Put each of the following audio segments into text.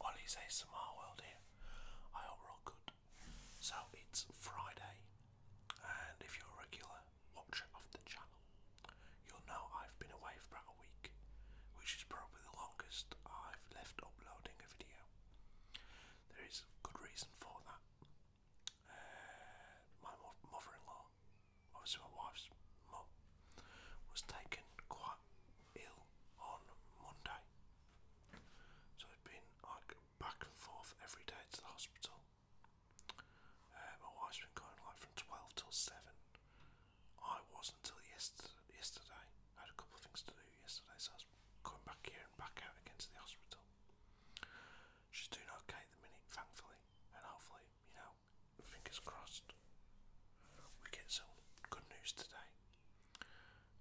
Ollie's ASMR World here. I hope all good. So it's Friday, and if you're a regular watcher of the channel, you'll know I've been away for about a week, which is probably the longest I've left uploading a video there is good reason for that. Uh, my mother-in-law, obviously my wife's mum, was taken quite ill on Monday, so it'd been like back and forth every day to the hospital. Uh, my wife's been going like from twelve till seven. I was until yesterday. Yesterday, had a couple of things to do yesterday, so I was going back here and back out again to the hospital. She's doing okay the minute, thankfully, and hopefully, you know, fingers crossed, we get some good news today.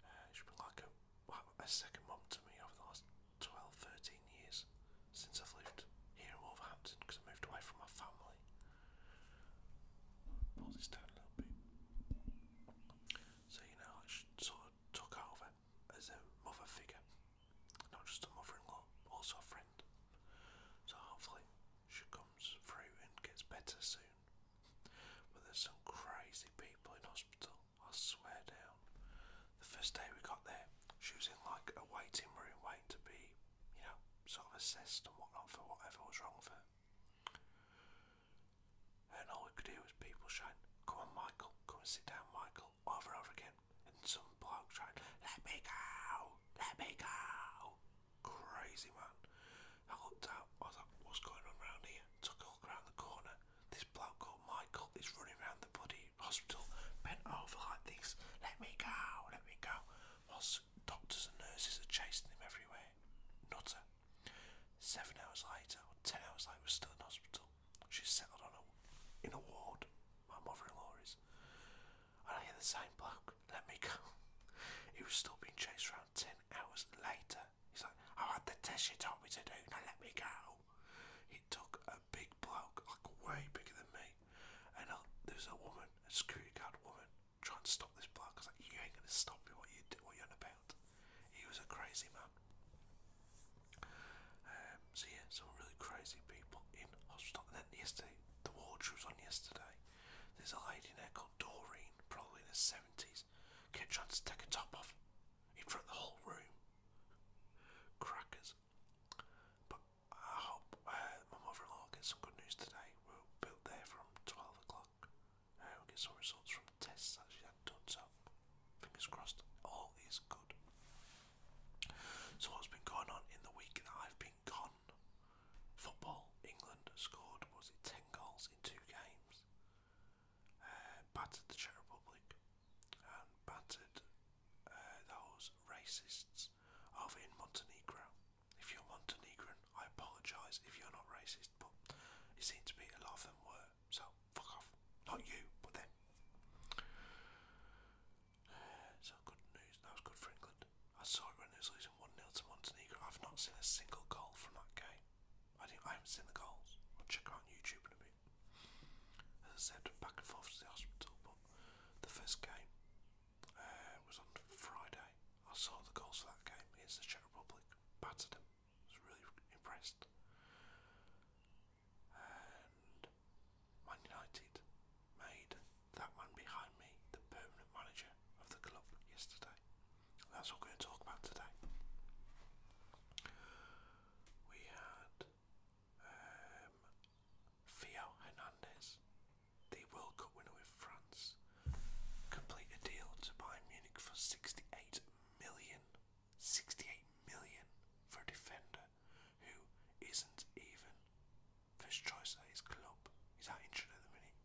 Uh, she's been like a, second mum to me over the last 12, years since I've lived here in Wolverhampton because I moved away from my family. Pull this a little bit. So, you know, she sort of took over as a mother figure, not just a mother in law, also a friend. So, hopefully, she comes through and gets better soon. But there's some crazy people in hospital, I swear down. The first day we got there, she was in like a waiting room, waiting to be, you know, sort of assessed and whatnot for whatever was wrong with her. And all we could do was people shouting, Come on, Michael, come and sit down, Michael, over and over again. And some bloke shouting, Let me go, let me go. Crazy man. I looked out, I was like, What's going on around here? Took a look around the corner. This bloke called Michael is running around the bloody hospital, bent over like this, Let me go, let me go. Whilst doctors and nurses are chasing him everywhere nutter. Seven hours later, or ten hours later, we're still in hospital. She's settled on a, in a ward. My mother-in-law is. And I hear the same bloke. Let me go. He was still being chased around ten hours later. He's like, I had the test you told me to do. Now let me go. He took a big bloke, like way bigger than me. And there's a woman, a security guard woman, trying to stop this bloke. I like, you ain't gonna stop me. What you do? What you on about? He was a crazy man. Um, so yeah, some really crazy people in hospital. And then yesterday, the ward was on yesterday, there's a lady there called Doreen, probably in her seventies, kept trying to take her top off in front of the whole room. Crackers. But I hope uh, my mother-in-law gets some good news today. We're built there from twelve o'clock. Uh, will get some results from tests that she had done, so fingers crossed, all is good. So, what's been going on in the week that I've been gone? Football, England scored, was it 10 goals in two games? Uh, battered the Czech Republic and battered uh, those racists over in Montenegro. If you're Montenegrin, I apologise if you're not racist but it seemed to be a lot of them were, so fuck off. Not you, but them. so good news, that was good for England. I saw it when it was losing 1 0 to Montenegro. I've not seen a single goal from that game. I, didn't, I haven't seen the goals. I'll check out YouTube in a bit. As I said, back and forth to the hospital, but the first game uh, was on Friday. I saw the goals for that game against the Czech Republic, battered them was really impressed. And Man United made that man behind me the permanent manager of the club yesterday. That's what we're going to talk about today. We had um, Theo Hernandez, the World Cup winner with France, complete a deal to buy Munich for 68 million. 68 million for a defender who isn't even first choice at his club. He's out injured at the minute,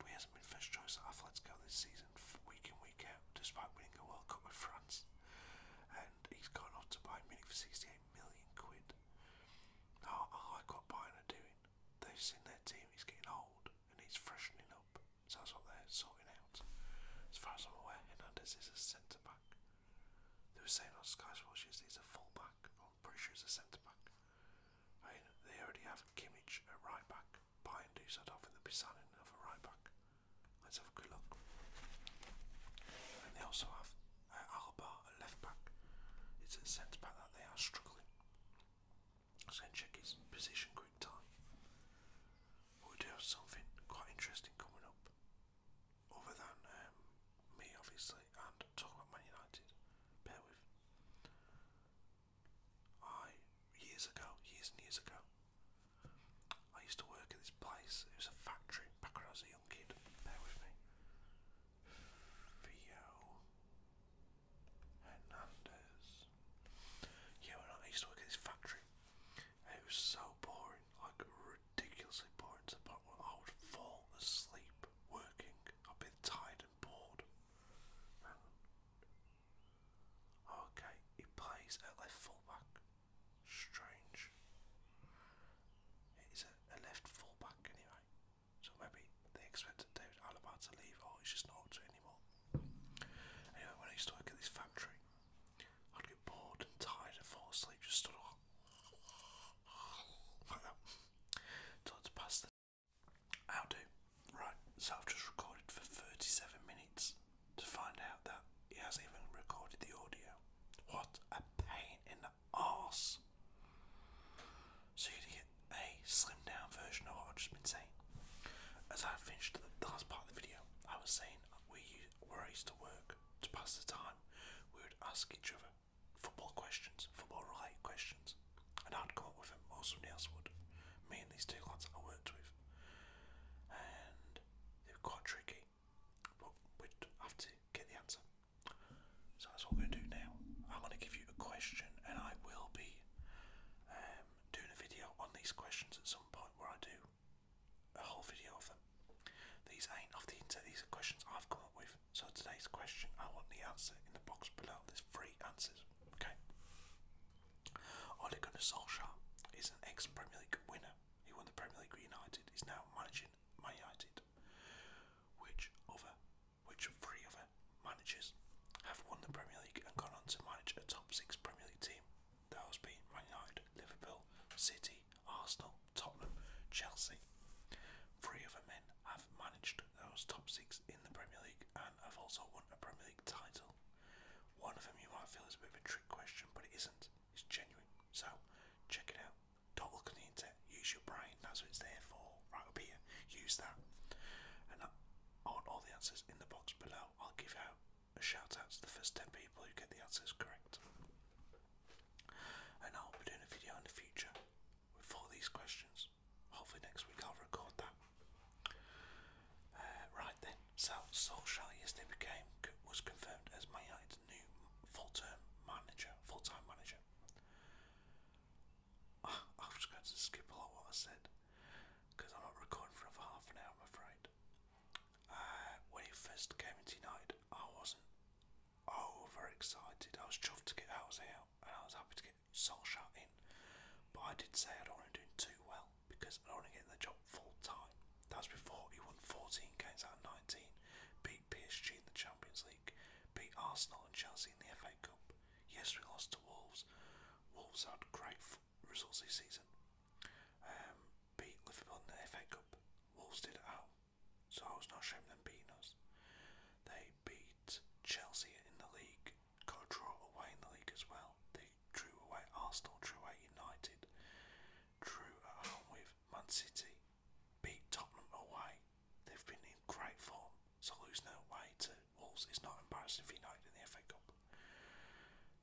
but he hasn't been first choice at Atletico this season, week in, week out, despite winning a World Cup with France. And he's gone off to buy Munich for 68 million quid. I like what Bayern are doing. They've seen their team is getting old and he's freshening up. So that's what they're sorting out. As far as I'm aware, Hernandez is a centre back. They were saying on Sky Sports he's a full back. I'm a centre back. they already have Kimmich a right back. Bayern do, so I don't think they right back. Let's have a good look. And they also have uh, Alba a left back. It's a centre back that they are struggling. Let's go and check his position quick time. We do have something quite interesting coming up. Other than me obviously and talking about Man United. Bear with. I years ago, years and years ago, I used to work at this place. It was a factory back when I was a young kid. Bear with me. Theo Hernandez. Yeah, when I used to work at this factory, and it was so boring, like ridiculously boring to the point where I would fall asleep working. I'd be tired and bored. Okay, he plays at left fullback. Strange. He's a, a left fullback anyway. So maybe they expected David Alaba to leave, or oh, he's just not up to it anymore. Anyway, when I used to work at this factory, I'd get bored and tired and fall asleep, just stood up Till to pass the I'll do. Right, so I've just recorded for 37 minutes to find out that he hasn't even recorded the audio. What a pain in the ass. So you get get a slimmed down version of what I've just been saying. As I finished the last part of the video, I was saying we where I used to work to pass the time, we would ask each other football questions, football related questions, and I'd come up with them, or somebody else would. Me and these two lads I worked with, and they were quite tricky, but we'd have to get the answer. So that's what we're going to do now. I'm going to give you a question, and I will be um, doing a video on these questions at some point where I do a whole video of them. These ain't off the internet, these are questions I've come up with. So today's question, I want the answer in the box below. There's three answers, okay? Ole Gunnar Solskjaer is an ex-Premier League winner. He won the Premier League United. He's now managing Man United. Which other, which three other uh, managers have won the Premier League and gone on to manage a top six Premier League team. That has been Man United, Liverpool, City, Arsenal, Tottenham, Chelsea. Three other men have managed those top six in the Premier League and have also won a Premier League title. One of them you might feel is a bit of a trick question, but it isn't. It's genuine. So check it out. Don't look on the internet. Use your brain. That's what it's there for. Right up here. Use that, I all the answers in the box below. I'll give out a shout out to the first 10 people who get the answers correct. And I'll be doing a video in the future with all these questions. Hopefully, next week I'll record that. Uh, right then, so Solskjaer yesterday became, was confirmed as Man United's new full term manager, full time manager. I'm just going to skip a lot of what I said because I'm not recording for another half an hour, I'm afraid. Uh, when he first came into night, I wasn't over excited. I was chuffed to get Owls out and I was happy to get shut in. But I did say I don't want to do too well because I don't want to get in the job full time. That was before he won 14 games out of 19, beat PSG in the Champions League, beat Arsenal and Chelsea in the FA Cup. Yesterday, lost to Wolves, Wolves had great results this season. Um, beat Liverpool in the FA Cup. Wolves did it out, so I was not ashamed them beating us. They beat Chelsea in the league, got draw away in the league as well. They drew away Arsenal, drew away United, drew at home with Man City, beat Tottenham away. They've been in great form, so losing away to Wolves, it's not embarrassing for United in the FA Cup.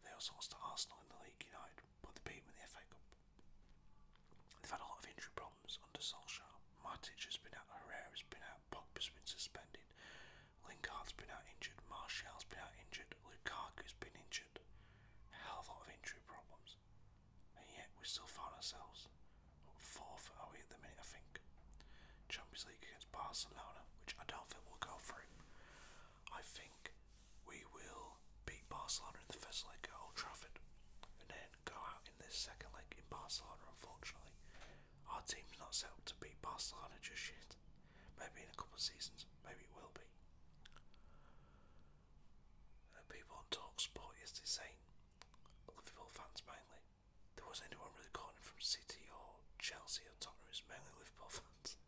They also lost to Arsenal in the league, United, but they beat them in the FA Cup. They've had a lot of injury problems under Solskjaer. Matic has been out, Herrera's been out, Pogba's been suspended, Lingard's been out injured, Martial's been out injured, Lukaku's been injured. A hell of a lot of injury problems. And yet we still find ourselves fourth, are we at the minute I think? Champions League Barcelona, which I don't think we will go through. I think we will beat Barcelona in the first leg at Old Trafford and then go out in the second leg in Barcelona, unfortunately. Our team's not set up to beat Barcelona just yet. Maybe in a couple of seasons, maybe it will be. Uh, people on Talksport yesterday saying, Liverpool fans mainly, there wasn't anyone really calling from City or Chelsea or Tottenham, it was mainly Liverpool fans.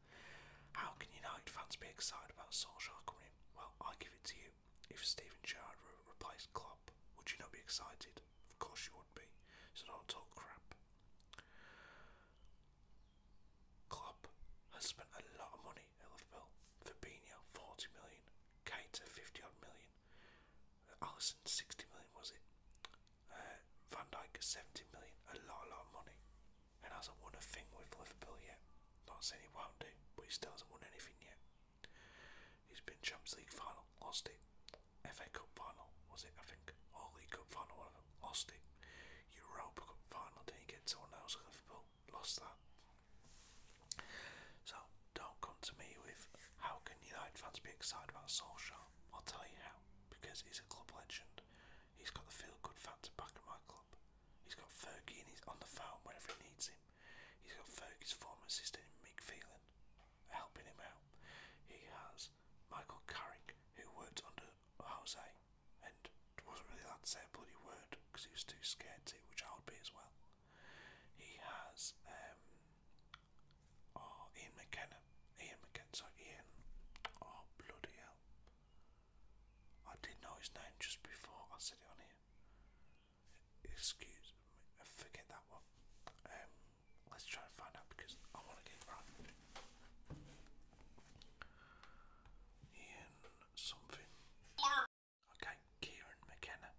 How can United fans be excited about Solskjaer coming in? Well, I give it to you. If Steven Gerrard replaced Klopp, would you not be excited? Of course you would be. So don't talk crap. Klopp has spent a lot of money at Liverpool. Fabinho, 40 million. Keita, 50 odd million. Allison, 60 million was it? Uh, Van Dijk at 70 million, a lot, a lot of money, and hasn't won a thing with Liverpool yet. Not saying he won't do, but he still hasn't won anything yet. He's been Champions League final, lost it. FA Cup final, was it? I think. Or League Cup final, one of them, lost it. Europa Cup final, didn't get someone else at Liverpool, lost that. So, don't come to me with how can United fans be excited about Solskjaer? I'll tell you how. Because he's a club legend. He's got the feel good factor back at my club. He's got Fergie and he's on the phone whenever he needs him. He's got Fergie's former assistant Mick Phelan helping him out. He has Michael Carrick who worked under Jose and wasn't really allowed to say a bloody word because he was too scared to, which I would be as well. He has um, Oh, Ian McKenna. Ian McKenna. Sorry, Ian. Oh, bloody hell. I did not know his name just before I said it on here. Excuse me. Forget that one. Um, let's try and find out because I want to get it right. Ian something. Okay, Kieran McKenna.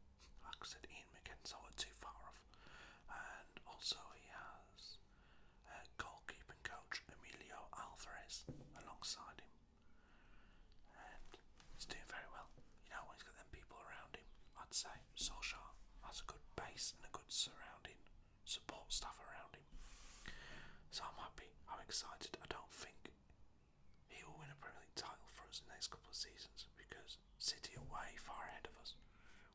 I said, Ian McKenna. I went too far and also he has goalkeeping coach Emilio Alvarez alongside him, and he's doing very well. You know, when he's got them people around him, I'd say Solskjaer has a good base and a good surrounding support staff around him. So I'm happy. I'm excited. I don't think he will win a Premier League title for us in the next couple of seasons because City are way far ahead of us.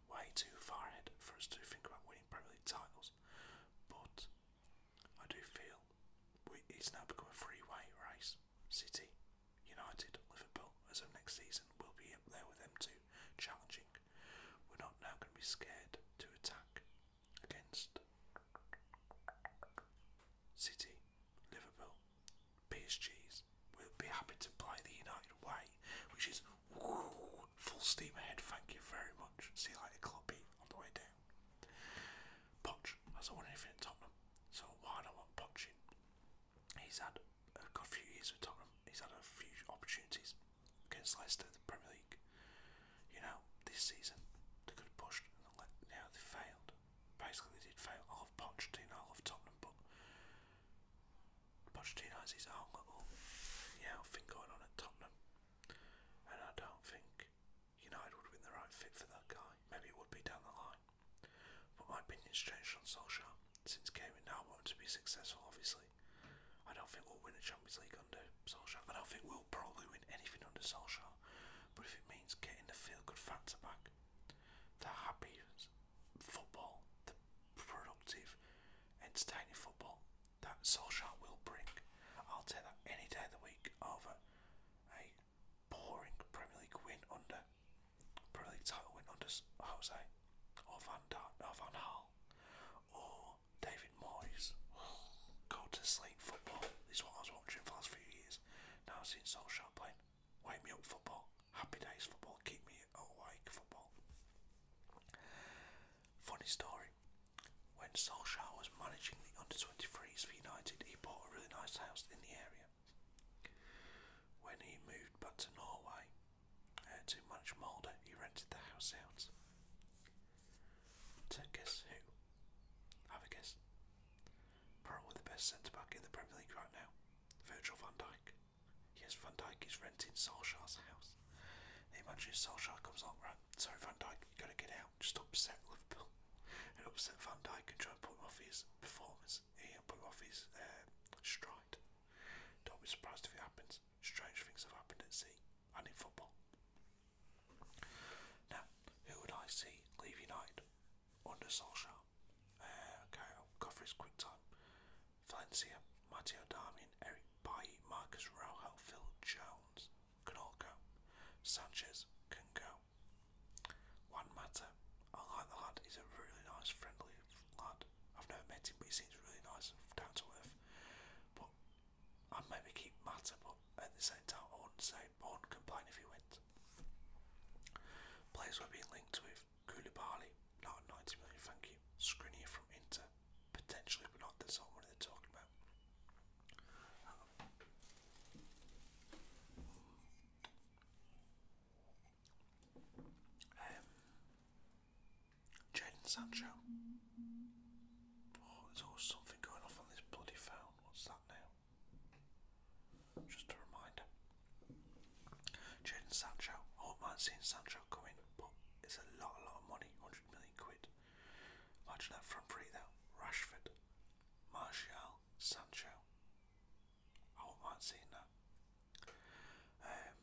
Way too far ahead for us to think about winning Premier League titles. But I do feel it's now become a freeway race. City, United, Liverpool, as of next season, will be up there with them too, challenging. We're not now going to be scared to attack against City, Liverpool, PSG's, we'll be happy to apply the United way, which is full steam ahead, thank you very much. See you later, Club B, on the way down. Poch hasn't won anything at Tottenham, so why not want He's had a good few years with Tottenham, he's had a few opportunities against Leicester, the Premier League. You know, this season they could have pushed and they failed. Basically, they did fail. I love Pochettino, I love Tottenham, but Pochettino has his own little yeah thing going on at Tottenham, and I don't think United would be the right fit for that guy. Maybe it would be down the line, but my opinion's changed on Solskjaer since Kevin now wanted to be successful. Obviously, I don't think we'll win a Champions League under Solskjaer. I don't think we'll probably win anything under Solskjaer, but if it means getting the feel good fans back, the happy football, the productive, entertaining football that Solskjaer will bring. I'll take that any day of the week over a boring Premier League win under Premier League title win under Jose or Van, Dar or Van Hal or David Moyes. Go to sleep football. This is what I was watching for the last few years. Now I've seen Solskjaer playing. Wake me up football. Happy days football, keep me awake football. Funny story. When Solskjaer was managing the under 23s for United, he bought a really nice house in the area. When he moved back to Norway uh, to manage Molde, he rented the house out. To guess who? Have a guess. Probably the best centre back in the Premier League right now, Virgil van Dijk. Yes, Van Dyke is renting Solskjaer's house. They imagine Solskjaer comes along, right? Sorry, Van Dyke, you gotta get out. Just upset Liverpool and upset Van Dyke and try and put off his performance. Yeah, put him off his um, stride. Don't be surprised if it happens. Strange things have happened at sea and in football. Now, who would I see leave United under Solskjaer? Neymar, uh, Godfrey's quick time, Valencia, Matteo Darmian, Eric Bailly, Marcus Rojo, Phil Jones can all go. Sanchez can go. One matter, I like the lad. He's a really nice, friendly lad. I've never met him, but he seems really nice and down to earth. But I'd maybe keep Matter, but at the same time, I wouldn't say, I wouldn't complain if he went. Players we're being linked with Koulibaly, not 90 million, thank you. from Inter, potentially, but not that's not one they're talking about. Um, Jaden Sancho. Oh, there's always something going off on this bloody phone. What's that now? Just a reminder. Jaden Sancho. I won't mind seeing Sancho come in, but it's a lot, a lot of money. 100 million quid. Imagine that front three though. Rashford, Martial, Sancho. I won't mind seeing that. Um,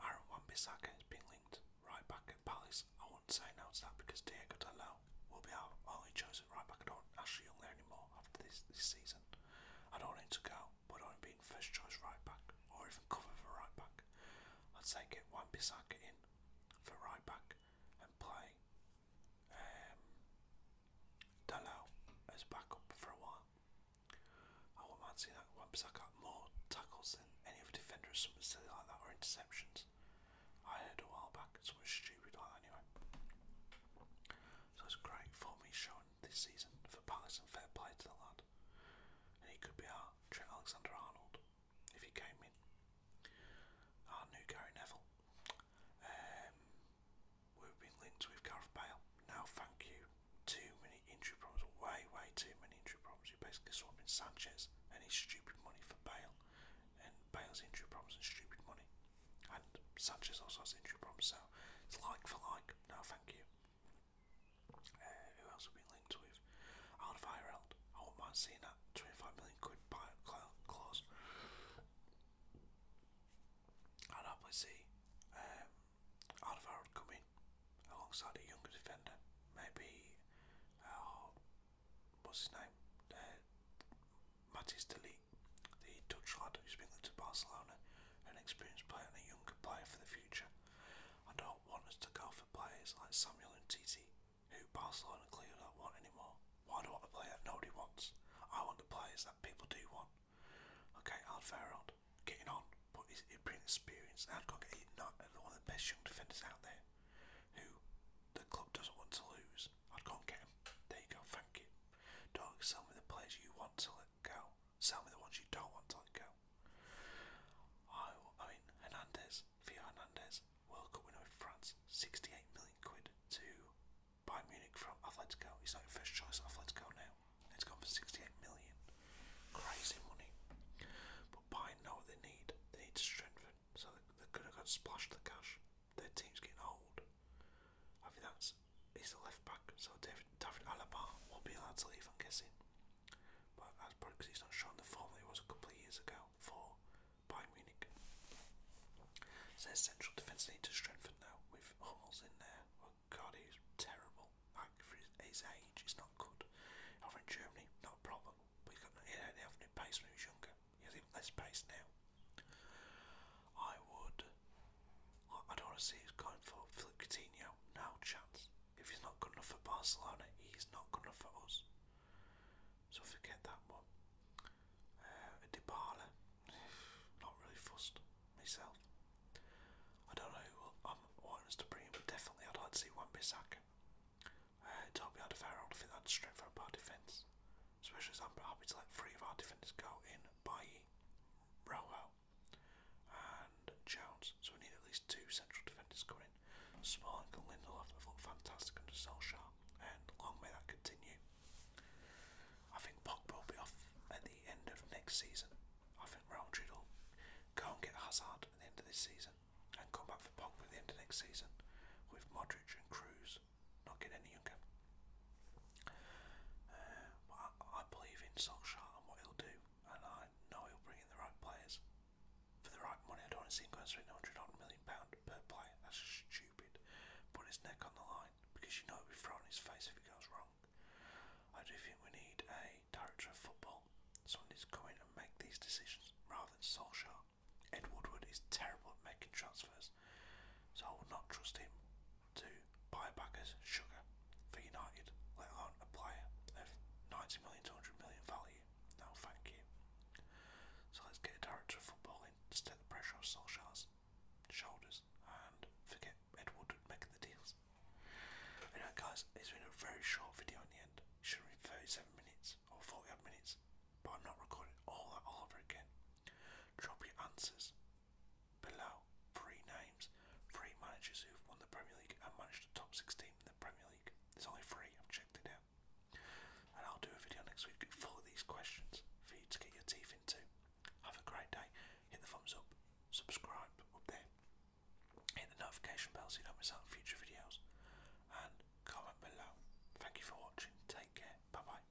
Aaron Wan-Bissaka has been linked right back at Palace. I wouldn't say no to that because Diego Dalot will be our only chosen right back. I don't Ashley Young there anymore after this this season. I don't want to go would I have been first choice right back or even cover for right back? I'd say get Wan Bissaka in for right back and play um, Dalo as backup for a while. I wouldn't mind seeing that Wan Bissaka more tackles than any other defender or something silly like that or interceptions. I heard a while back, something stupid like anyway so it's great form he's shown this season for Palace and fair play to the lad. he could be our Alexander Arnold if he came in. Our new Gary Neville. Um, we've been linked with Gareth Bale. Now, thank you. Too many injury problems, way, way too many injury problems. You're basically swapping Sanchez and his stupid money for Bale, and Bale's injury problems and stupid money. And Sanchez also has injury problems, so it's like for like. No, thank you. Uh, who else have we linked with? Alderweireld. I wouldn't mind seeing that 25 million quid buyout clause. I'd happily see um, come in alongside a younger defender. Maybe, uh, what's his name? Uh, Matis de the Dutch lad who's been linked to Barcelona, an experienced player and a younger player for the future. I don't want us to go for players like Samuel and Titi, who Barcelona clearly don't want anymore. Why do I want a player nobody wants? I want the players that people do want. Okay, Alvaro, getting on, but he's, he's experience. I'd go get one of the best young defenders out there, who the club doesn't want to lose. I'd go get him. There you go, thank you. Don't sell me the players you want to go. Sell me the ones you don't want to let go. I, mean, Hernandez, Theo Hernandez, World Cup winner with France, 68 million quid to buy Munich from Atletico. He's like first choice at Atletico now. It's gone for 68 million. Crazy money. But Bayern know what they need. They need to strengthen. So they, they could have got splashed the cash. Their team's getting old. I think that's he's the left back, so David, Alaba will not be allowed to leave, I'm guessing. But that's probably because he's not showing the form he was a couple of years ago for Bayern Munich. Says central defence need to strengthen now with Hummels in there. Oh, God, he's terrible. Like for his, age, he's not good. Over in Germany, not a problem. he's got, he didn't pace when he was younger. He has even less pace now. I would. I don't want to see who's going for Philip Coutinho. No chance. If he's not good enough for Barcelona, he's not good enough for us. So forget that one. Uh, Dybala. not really fussed myself. I don't know who I'm wanting to bring in, but definitely I'd like to see Wan-Bissaka. Uh, Toby Adefaro, I don't think that's straight for a bad defence especially as I'm happy to let three of our defenders go in Bailly, Rojo, and Jones. So we need at least two central defenders coming Smalling and Lindelof have looked fantastic under Solskjaer, and long may that continue. I think Pogba will be off at the end of next season. I think Real will go and get Hazard at the end of this season and come back for Pogba at the end of next season with Modric and Cruz not getting any younger. Uh, I, believe in Solskjaer and what he'll do, and I know he'll bring in the right players. For the right money, I don't want to see him going straight hundred pound per player. That's stupid. Put his neck on the line because you know it'll be thrown in his face if it goes wrong. I do think we need a director of football, someone who's come in and make these decisions rather than Solskjaer. Ed Woodward is terrible at making transfers, so I will not trust him to buy back sugar for United, let alone a player of 90 million to 100 million value. No, thank you. So let's get a director of football in to the pressure off Solskjaer's shoulders and forget Ed making the deals. Anyway, guys, it's been a very short video in the end. It should have 37 minutes or 40 minutes, but I'm not recording all that all over again. Drop your answers below three names, three managers who've won the Premier League and managed the top six team in the Premier League. There's only three, I've checked it out. And I'll do a video next week full of these questions for you to get your teeth into. Have a great day. Hit the thumbs up, subscribe up there, hit the notification bell so you don't miss out on future videos, and comment below. Thank you for watching. Take care. Bye bye.